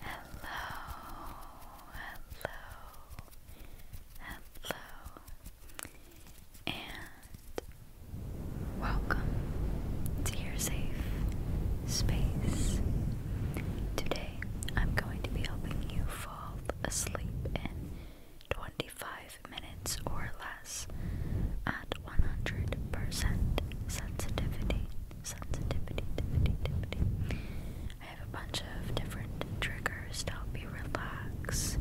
Hello, hello, hello, and welcome to your safe space. Today I'm going to be helping you fall asleep in 25 minutes or less at 100% sensitivity sensitivity, I have a bunch of different triggers to help you relax.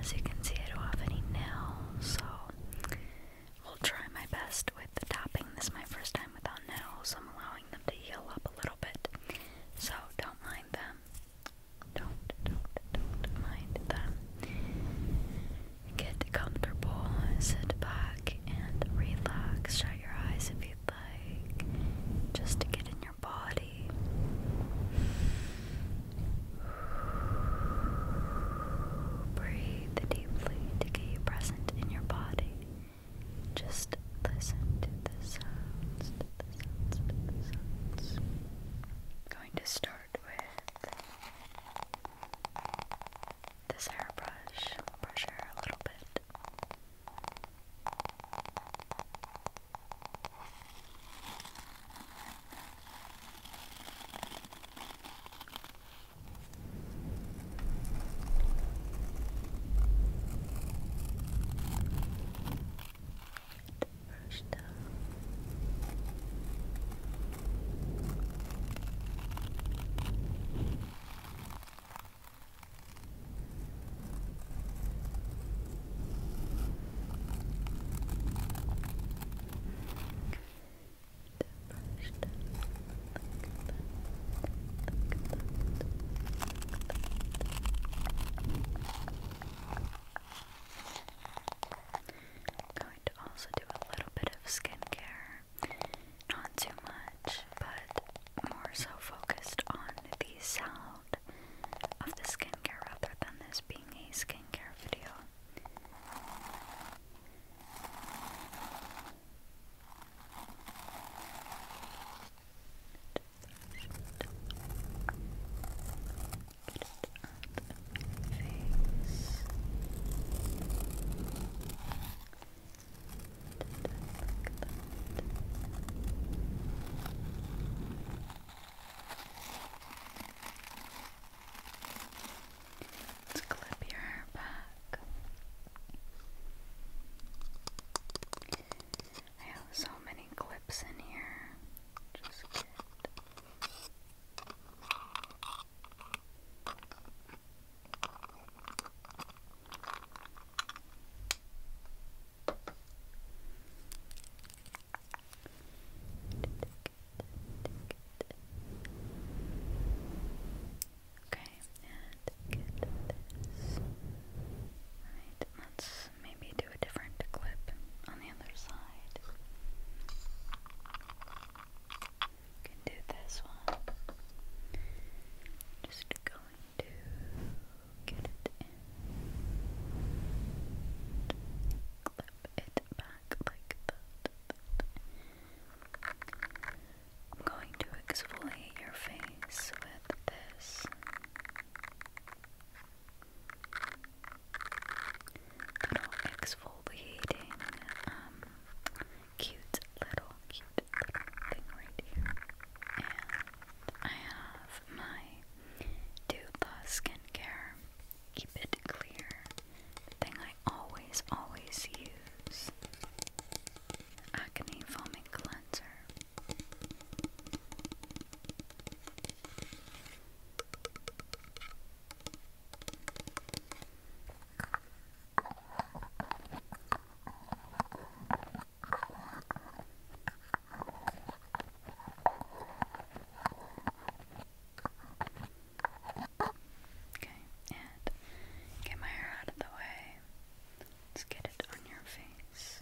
As you can see, I don't have any nails, so i will try my best with the tapping. This is my first time without nails. I'm allowing them to heal up a little bit, so don't mind them. Don't, don't, don't mind them. Get comfortable, sit back, and relax. Shut your eyes if you'd like, just to get in your body. Breathe deeply to get you present in your body. Just listen to the sounds, to the sounds, to the sounds. I'm going to start with this hairbrush, brush her a little bit. Brush down. I'm going to also do a little bit of skincare. Not too much, but more so focused on the sound of the skincare rather than this being a skincare video. Just Let's clip your hair back. I have so many clips in here. Just get Okay, and let's maybe do a different clip on the other side. You can do this one. Just going to get it Clip it back like that. I'm going to exfoliate your face with this. Little exfoliating um, cute little, cute little thing right here. And I have my Dula skincare, keep it clear, the thing I always, always use. Acne foaming cleanser. Okay, and get my hair out of the way. Let's get it on your face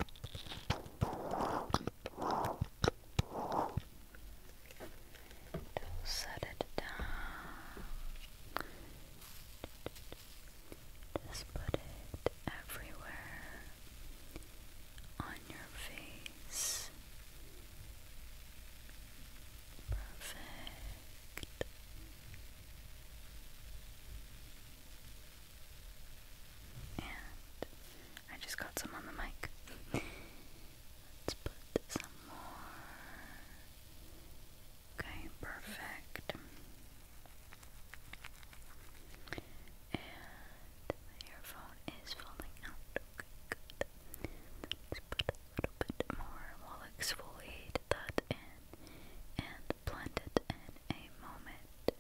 set it down. Just put it everywhere on your face. Perfect. And I just got some on the mic. Let's put some more. Okay, perfect. And the earphone is falling out. Okay, good. Let's put a little bit more. will exfoliate that and blend it in a moment.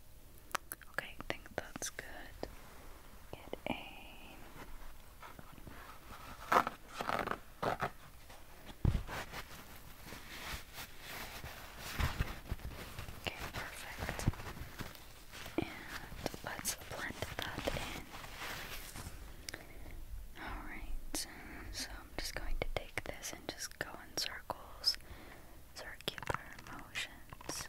Okay, I think that's good. Get a Okay, perfect. And let's blend that in. Alright, so I'm just going to take this and just go in circles, circular motions.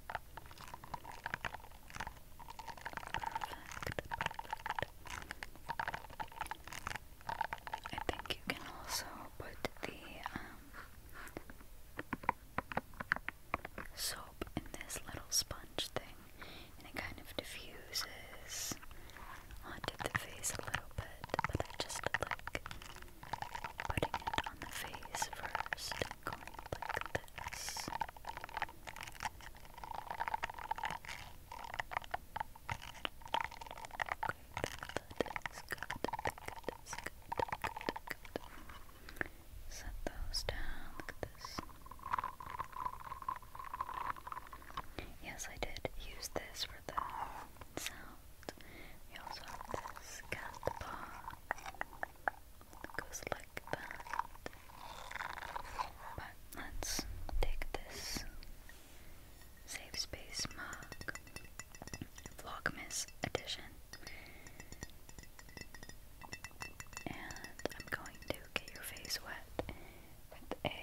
I think you can also put the um, soap in this little sponge thing, and it kind of diffuses onto the face a little bit, but I just like putting it on the face first and going like this. Set those down. Look at this. Yes, I did use this for the sound. We also have this cat paw goes like that. But let's take this Save Space mug, Vlogmas edition, and I'm going to get your face wet with a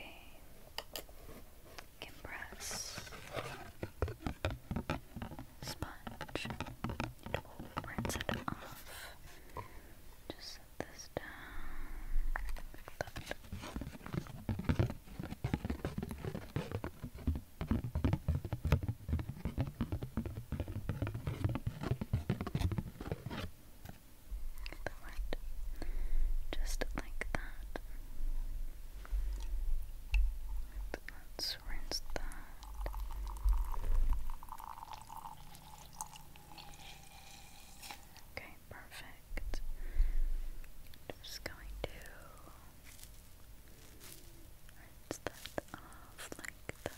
compress sponge. It rinse it off. Just set this down like that. Just like that. Let's rinse that. Okay, perfect. Just going to rinse that off like that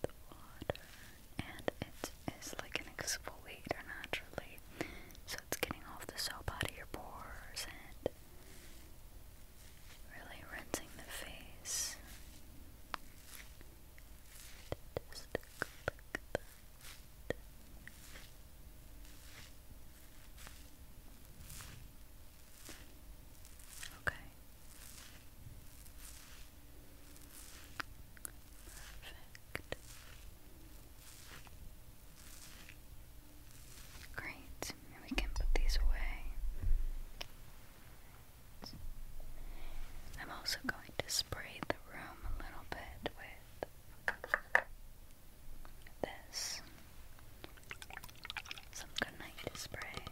the water and it is like an exfoliator naturally. So it's getting off the soap out of your pores and really rinsing the face. Okay. Perfect. Great. we can put these away. I'm also going to spray the room a little bit with this. Some good night spray.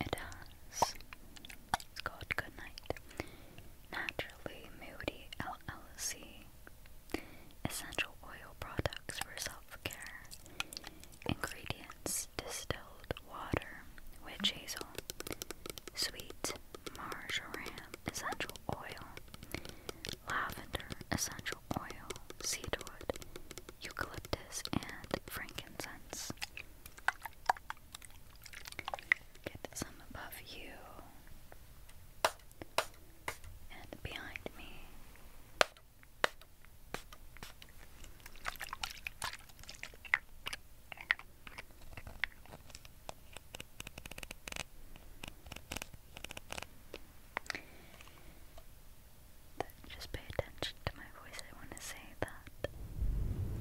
It has. It's called Goodnight. Naturally Moody LLC Essential oil products for self care. Ingredients distilled water, witch hazel, sweet marjoram, essential oil, lavender, essential oil, cedarwood, eucalyptus, and frankincense. Get some above you and behind me. just pay attention to my voice. I want to say that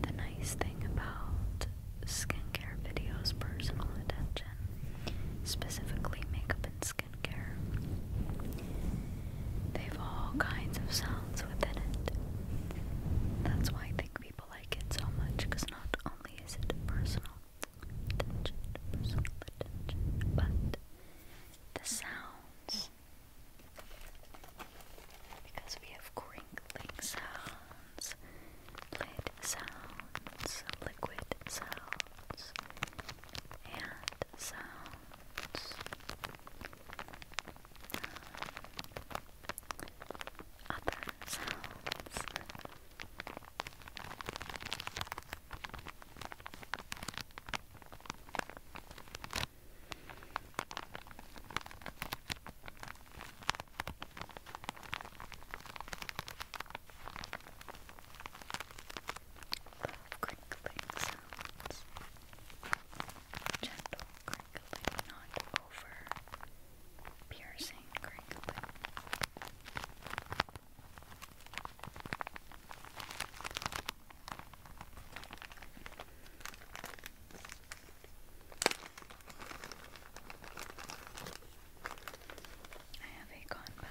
the nice thing about skincare videos, personal attention, specifically makeup and skincare. They've all kinds of sounds within it. That's why I think people like it so much, because not only is it personal but the sounds. Because we have crinkling sounds, light sounds, liquid sounds, and sounds. Um, other sounds. Love crinkling sounds. Gentle crinkling, not over piercing crinkling. I have a conba.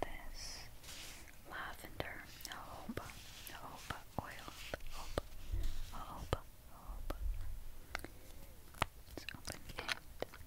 This lavender jojoba, jojoba oil, jojoba, jojoba, jojoba.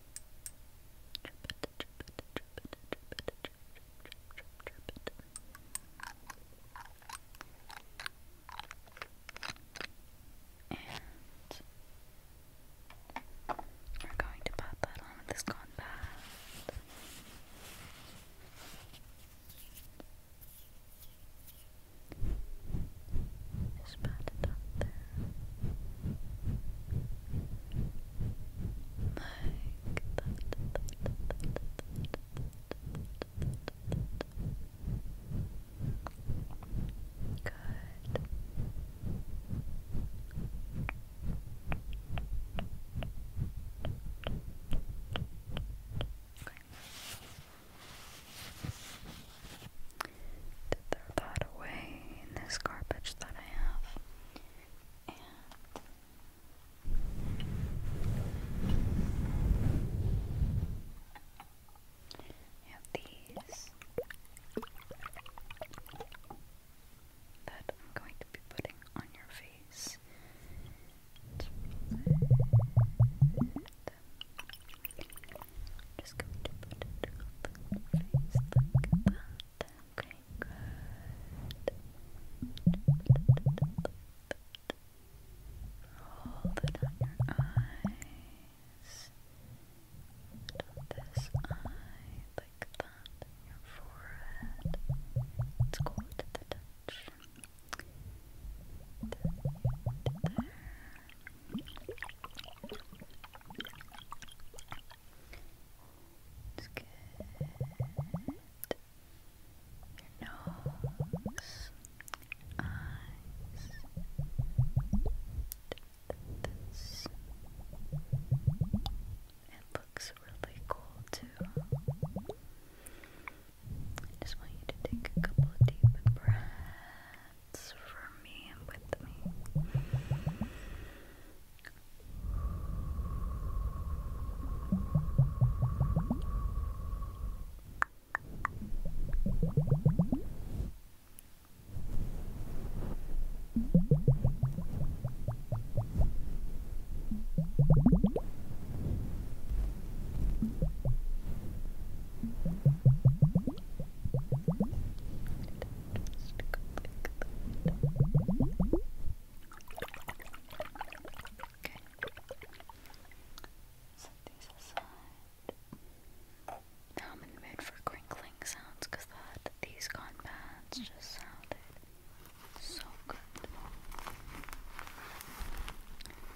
And we're going to pop that on with this compact. Just pat it up there. Good to throw that away in this garbage that I have. I have these that I'm going to be putting on your face. I'm just going to put it on the face like that. Okay, good. Hold it on your eyes. And this eye, like that, your forehead. It's cold to the touch. It's good. Your nose, eyes, this. It looks really cool too. I just want you to take a couple deep breaths. It's for me and with me. Okay. Set Now I'm in the mood for crinkling sounds that these gone pads just sounded so good.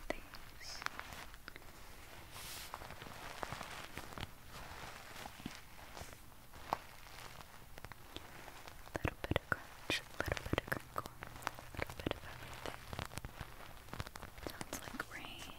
These little bit of crunch, little bit of crinkle, little bit of everything. Sounds like rain.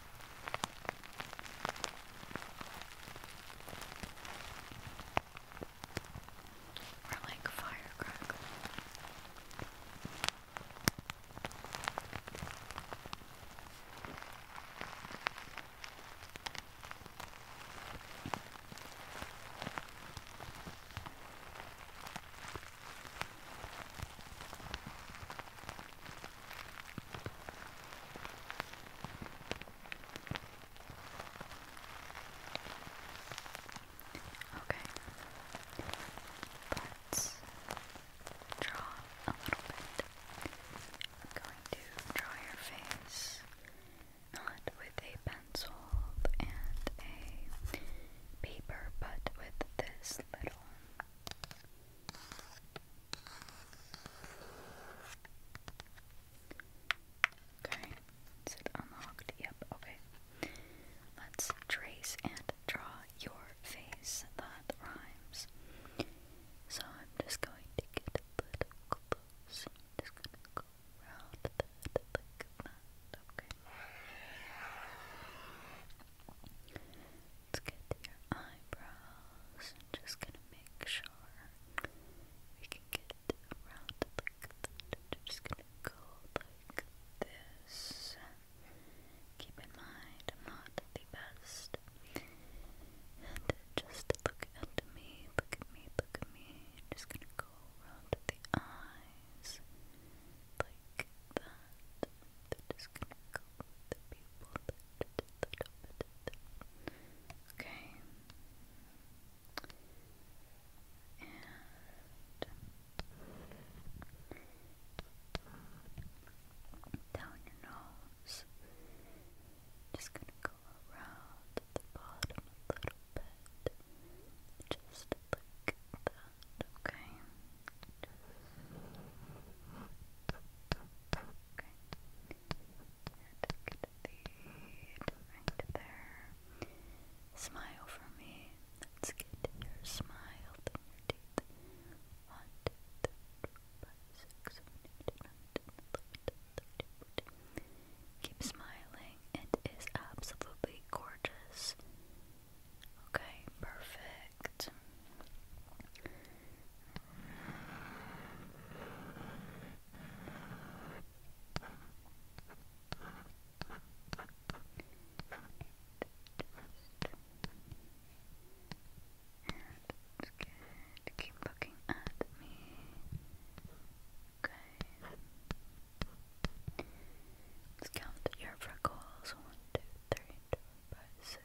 Or like firecracker. Okay. Let's draw a little bit. I'm going to draw your face not with a pencil and a paper, but with this little Okay, is unlocked? Yep, okay. Let's trace and draw your face that rhymes. So I'm just going to get a little close. just going to go around that like that. Okay let get to eyebrows. just gonna make sure we can get around like that. just gonna go like this. Keep in mind, not the best. just look at me, look at me, look at me. just gonna go around the eyes like that. they gonna go Okay. And down your nose. Just gonna go around the bottom a little bit. Just like that, okay? right there. Smile for me. Let's your smile through Keep smiling. It is absolutely gorgeous. Okay, perfect. It's good. Keep looking at me. Okay. Let's count your freckles. One, two, three, four, five, six,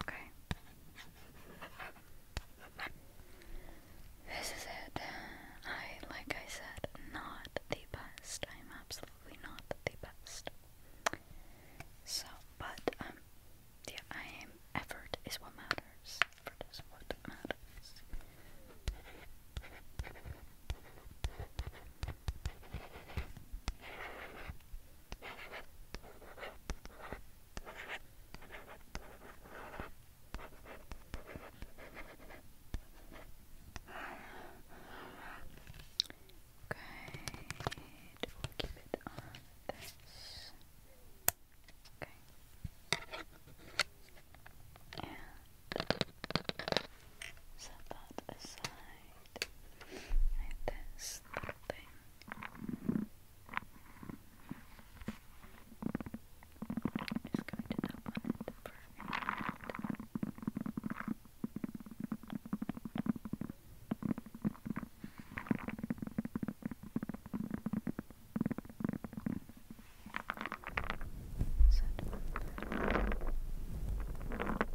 Okay. This is it. I, like I said, not the best. I'm absolutely not the best. So, but, um, yeah, I am. Effort is what matters. Effort is what matters. Good. We'll keep it on this. Okay. And set that aside and this thing I'm just going to tap on it for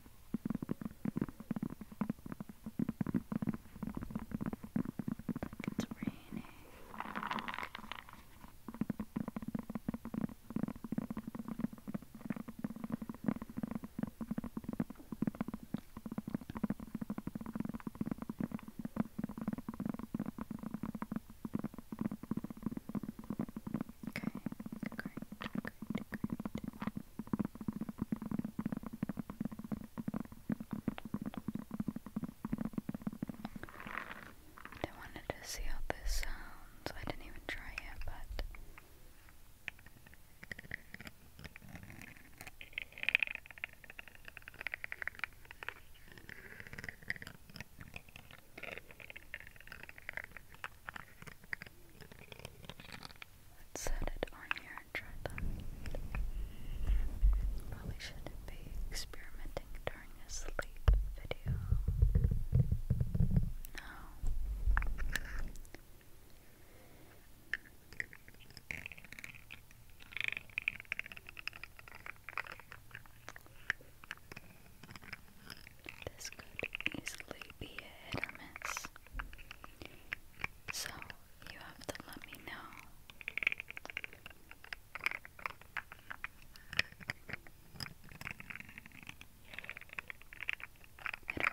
Like it's raining. Okay, great, great, great. I wanted to see how this sounds. I didn't even try it, but Let's set it on here and try that. Probably shouldn't be experimenting during a sleep video. No. This could easily be a hit or miss. So you have to let me know. Hit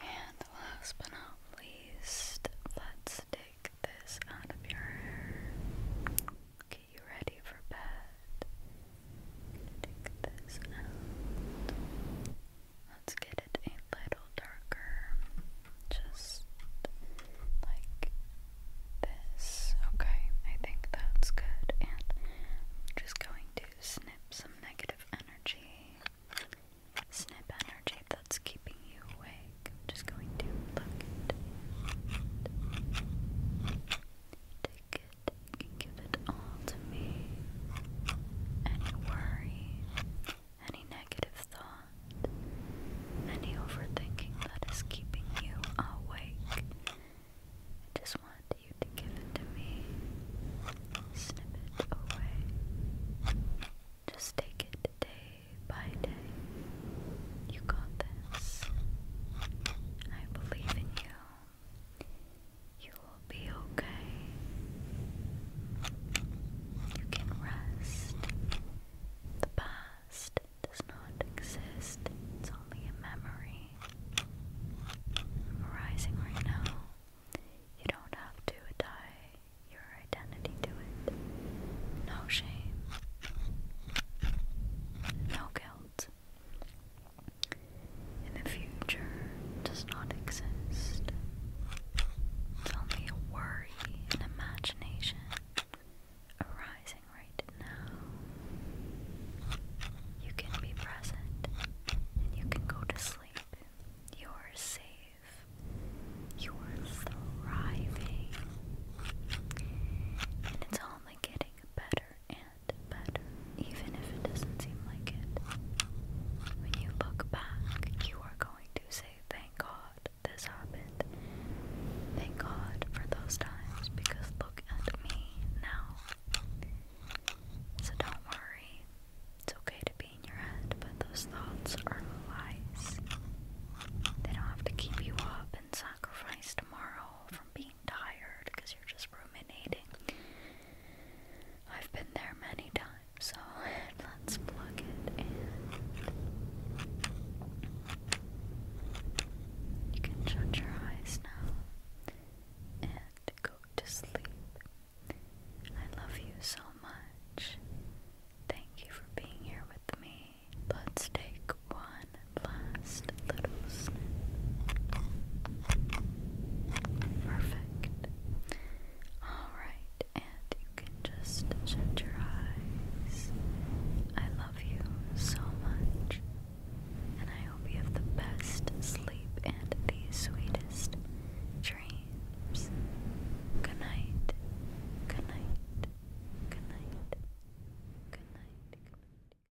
and last but not least, let's take this out of your hair. Get you ready for bed. Take this out. Let's get it a little darker. Just like this. Okay, I think that's good. And I'm just going to snip some negative energy. Snip energy that's keeping you awake. just going to pluck it. And take and give it all to me. Any worry, any negative thought, any overthinking that is keeping you awake. I just want you to give it to me. Snip it away. Just take it day by day. You got this. I believe in you. You will be okay. You can rest. The past does not exist, it's only a memory. Memorizing right now, you don't have to tie your identity to it. No shame, no guilt in the future does not exist. It's only a worry and imagination arising right now. You can be present and you can go to sleep. You are safe. You are thriving. And it's only getting better get even if it doesn't seem like it. When you look back, you are going to say, Thank God this happened. Thank God for those times because look at me now. So don't worry. It's okay to be in your head, but those thoughts are lies. They don't have to keep you up and sacrifice tomorrow from being tired because you're just ruminating. I've been there many times, so let's plug it You can shut your eyes now and go to sleep. I love you so much. Thank you for being here with me. Let's take one last little Perfect. Alright, and you can just shut your eyes. I love you so much, and I hope you have the best sleep and the sweetest dreams. Good night. Good night. Good night. Good night. Good night.